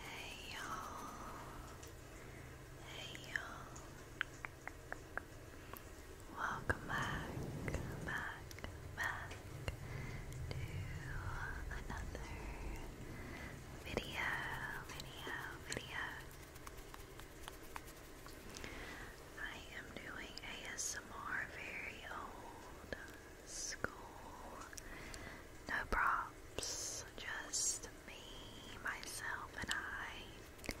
Hey y'all. Hey y'all. Welcome back, back, back to another video, video, video. I am doing ASMR very old school. No props, just me, myself, and I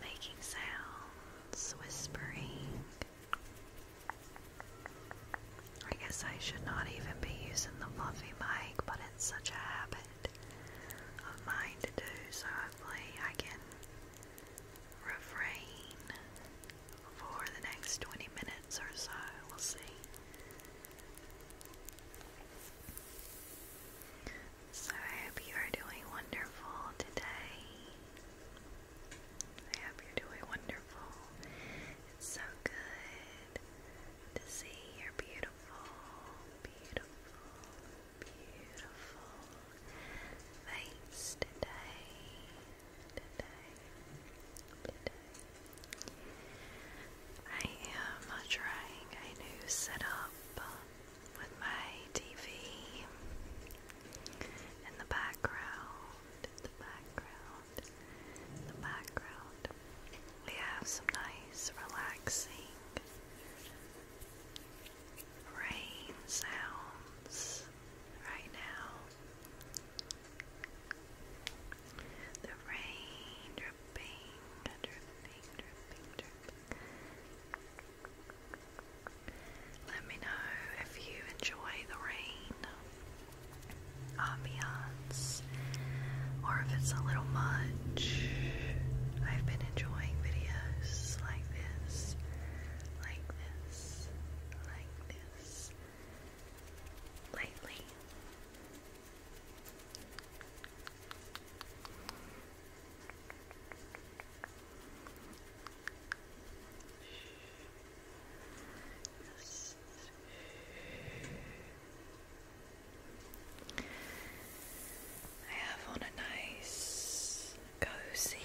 making sounds, whispering. I guess I should not even be using the fluffy mic, but it's such a habit of mine to do, so hopefully I can refrain for the next 20 minutes or so. We'll see. So, I hope you are doing wonderful today. I hope you're doing wonderful. It's so good to see your beautiful, beautiful, beautiful face today. I am trying a new setup with my TV in the background. In the background. In the background. We have some nice, relaxing rain sounds right now. The rain dripping, dripping, dripping, Let me know if you enjoy the rain ambiance or if it's a little much. I've been enjoying videos like this, like this, like this lately. Yes. I have on a nice cozy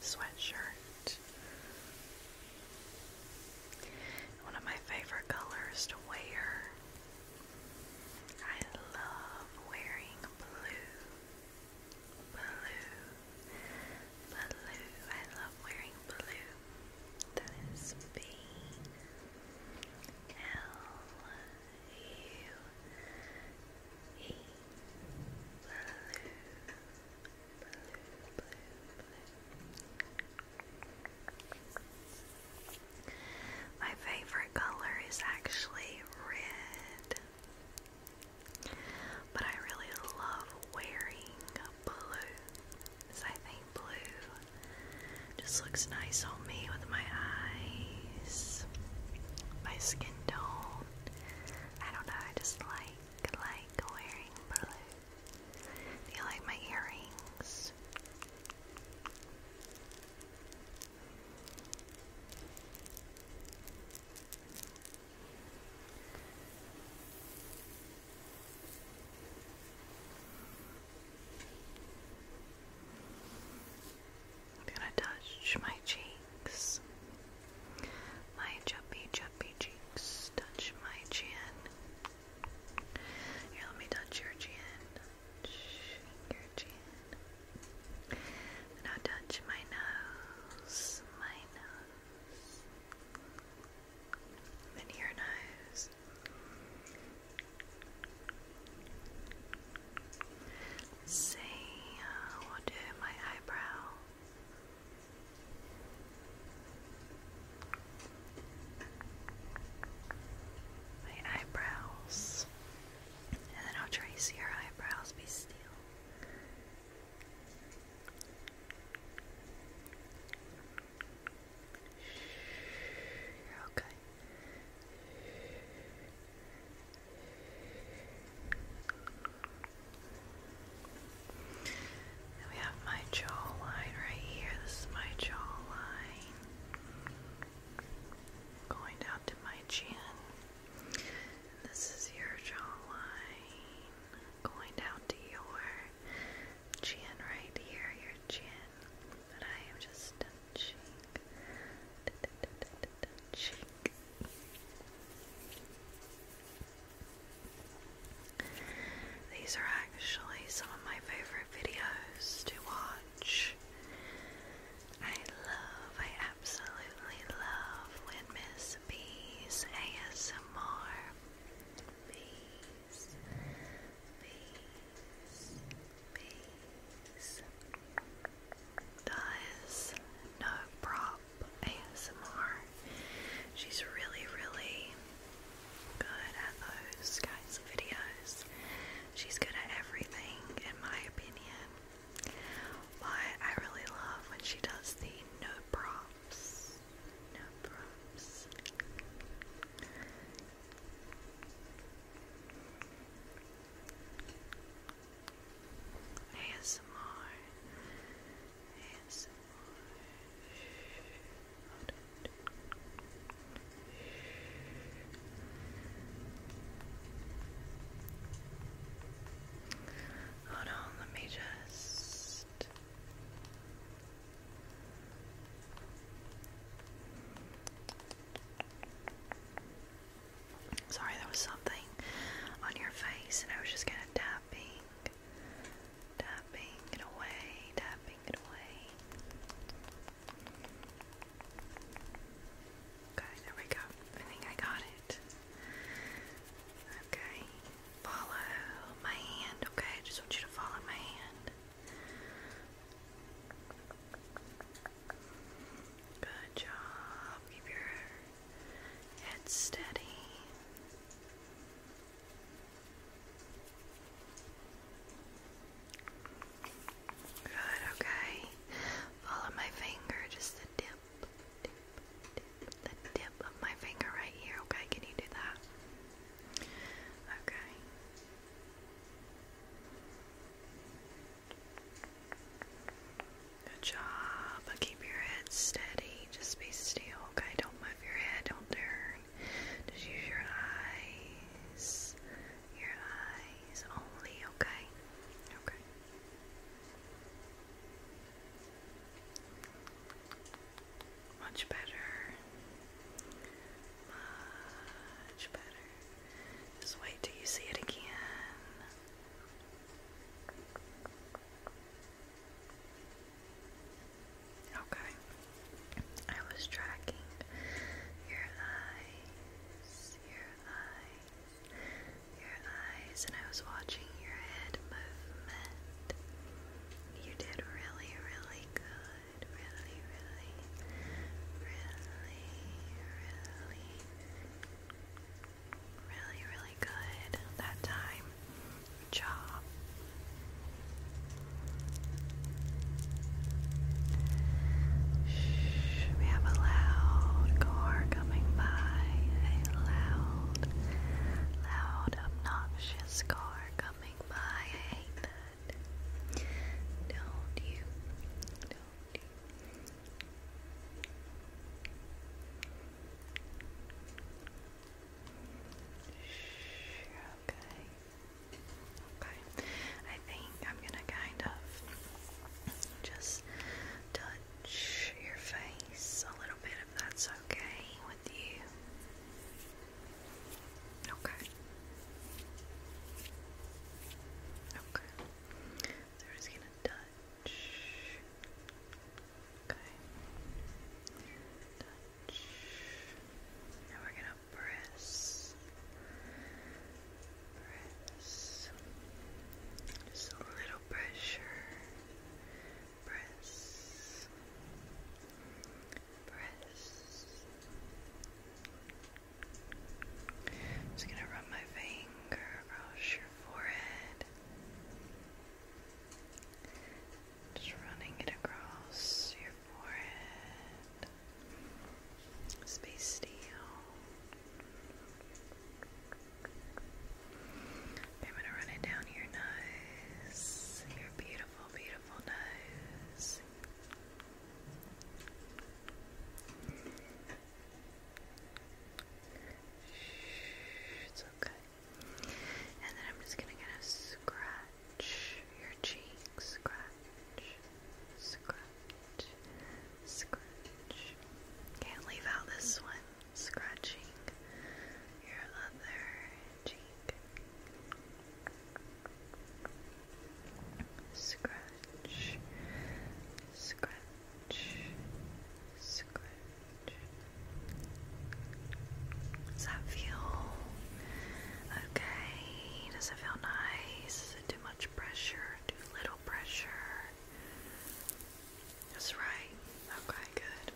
sweatshirt. One of my favorite colors to wear. I love wearing blue. Blue. Blue. I love wearing blue. That is B L blue, blue, blue, blue. My favorite color is actually red. But I really love wearing blue. Because I think blue just looks nice on me with my eyes, my skin skin tone. I don't know, I just like like wearing blue. Do you like my earrings? I'm gonna touch my cheeks, my chubby, chubby cheeks. Touch my chin. Here, let me touch your chin. your chin. Now touch my nose, my nose. Then your nose. Let's see, will do my eyebrow. My eyebrows. And then I'll trace your eyebrows, be still. You're okay we have my jawline right here. This is my jawline. Going down to my chin. this is your jawline. Going down to your chin right here, your chin. But I am just touching, touching. These are actually some of my favorite videos to watch. I love, I absolutely love when Miss B's ASMR does no prop ASMR. She's really, really good at those kinds of videos. She's good at everything, in my opinion. But I really love when she does the no props. No props. ASMR ASMR Hold it. on, let me just Sorry, there was something on your face, and I was just kind of tapping, tapping it away, tapping it away. Okay, there we go. I think I got it. Okay, follow my hand. Okay, I just want you to follow my hand. Good job. Keep your head steady. Good, okay. Follow my finger, just the tip, the tip of my finger right here, okay? Can you do that? Okay. Good job. keep your head steady. Just be still. Okay, don't move your head. Don't turn. Just use your eyes. Your eyes only. Okay. Okay. Much better. Much better. Just wait till you see it again. Okay. I was tracking your eyes, your eyes, your eyes, and I was watching your head movement. You did really, really good would really, really, really, really, really, really good that time. Job. Shh, we have a loud car coming by. A loud, loud, obnoxious car coming by. Don't you? okay. Okay. I think I'm gonna kind of just touch your face a little bit if that's okay with you. Okay. Okay. we're just gonna touch. Okay. Touch. Now we're gonna press. Press. Just a little pressure. Press press. i just gonna rub my finger across your forehead. Just running it across your forehead. Space steel. I'm gonna run it down your nose. Your beautiful, beautiful nose. Shh, it's okay. And then I'm just gonna kind of scratch your cheek, scratch, scratch, scratch. Can't leave out this one. Scratching your other scratch, scratch, scratch. Does that feel okay? Does it feel nice? too much pressure? Too little pressure? That's right. Okay, good.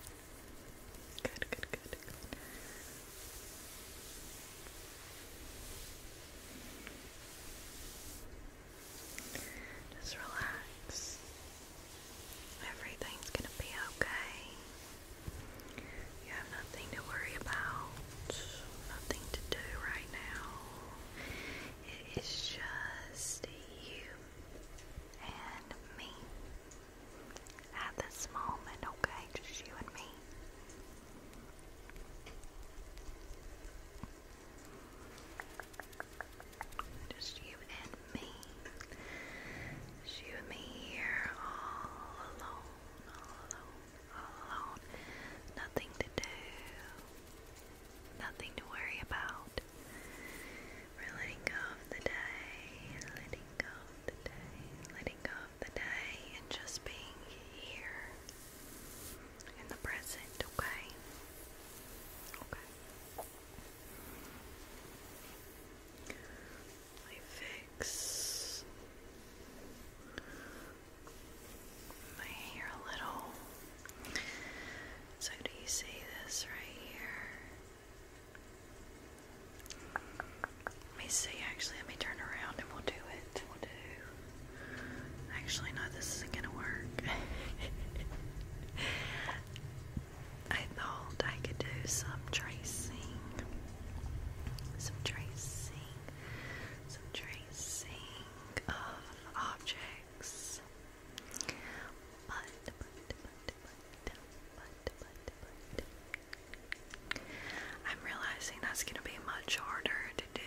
Good, good, good, good. Just relax. Everything's gonna be okay. You have nothing to worry about, nothing to do right now. It is just you and me at this moment, okay? Just you and me. Just you and me. Just you and me here, all alone, alone, alone. Nothing to do, nothing to worry about. We're letting go of the day, letting go of the day, letting go of the day, and just being here in the present, okay? Okay. I fix my hair a little. So, do you see this right here? Let me see, actually, let me turn around and we'll do it. Actually, no, this isn't gonna work. I thought I could do some tracing. Some tracing. Some tracing of objects. but, I'm realizing that's gonna be much harder to do.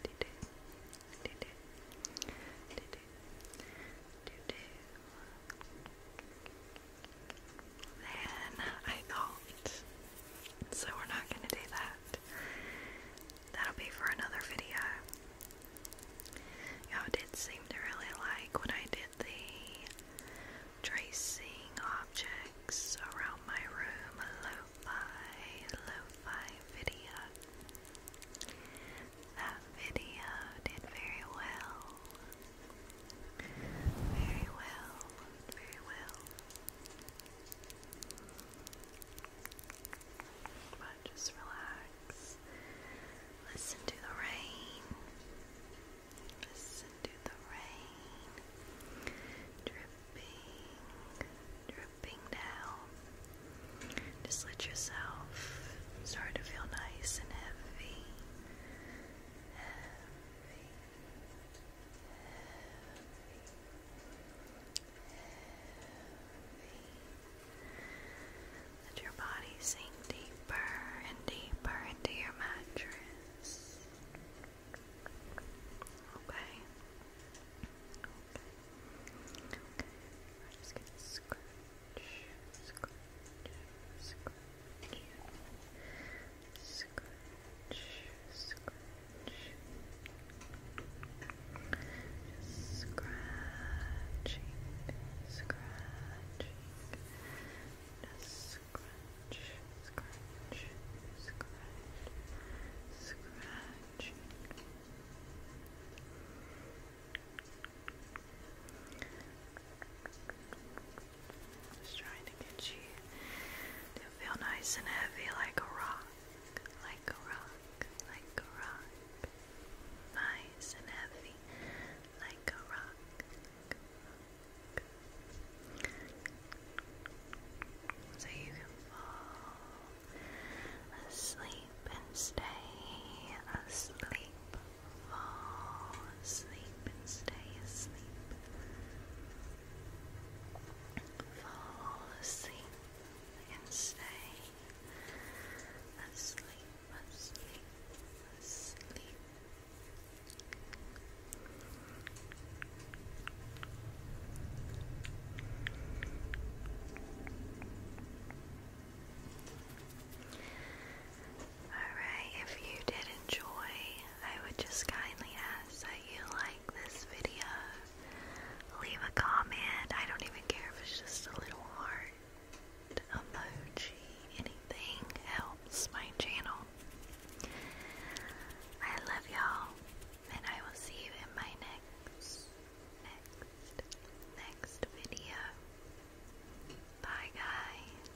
To I thought, so we're not gonna do that. That'll be for another video. you did seem to really like when I did the tracing objects around my room, lo-fi, lo-fi video. That video did very well. Very well, very well. But just relax. Listen to the rain. Listen to the rain. Dripping, dripping down. Just let yourself start to feel nice and heavy. Heavy. Heavy. Heavy. Let your body sink deeper and deeper into your mattress. Okay. just gonna scratch, scratch, scratch, scratch, scratch. Just scratch, scratch, scratch, trying to get you to feel nice and heavy like a rock, like a rock, like a rock. Nice and heavy, like a rock. So you can fall asleep and stay asleep. Fall asleep and stay asleep. Fall asleep and stay asleep asleep, asleep. Alright, if you did enjoy, I would just kindly ask that you like this video. Leave a comment. I don't even care if it's just a little heart emoji, anything helps my channel. I love y'all, and I will see you in my next, next, next video. Bye, guys.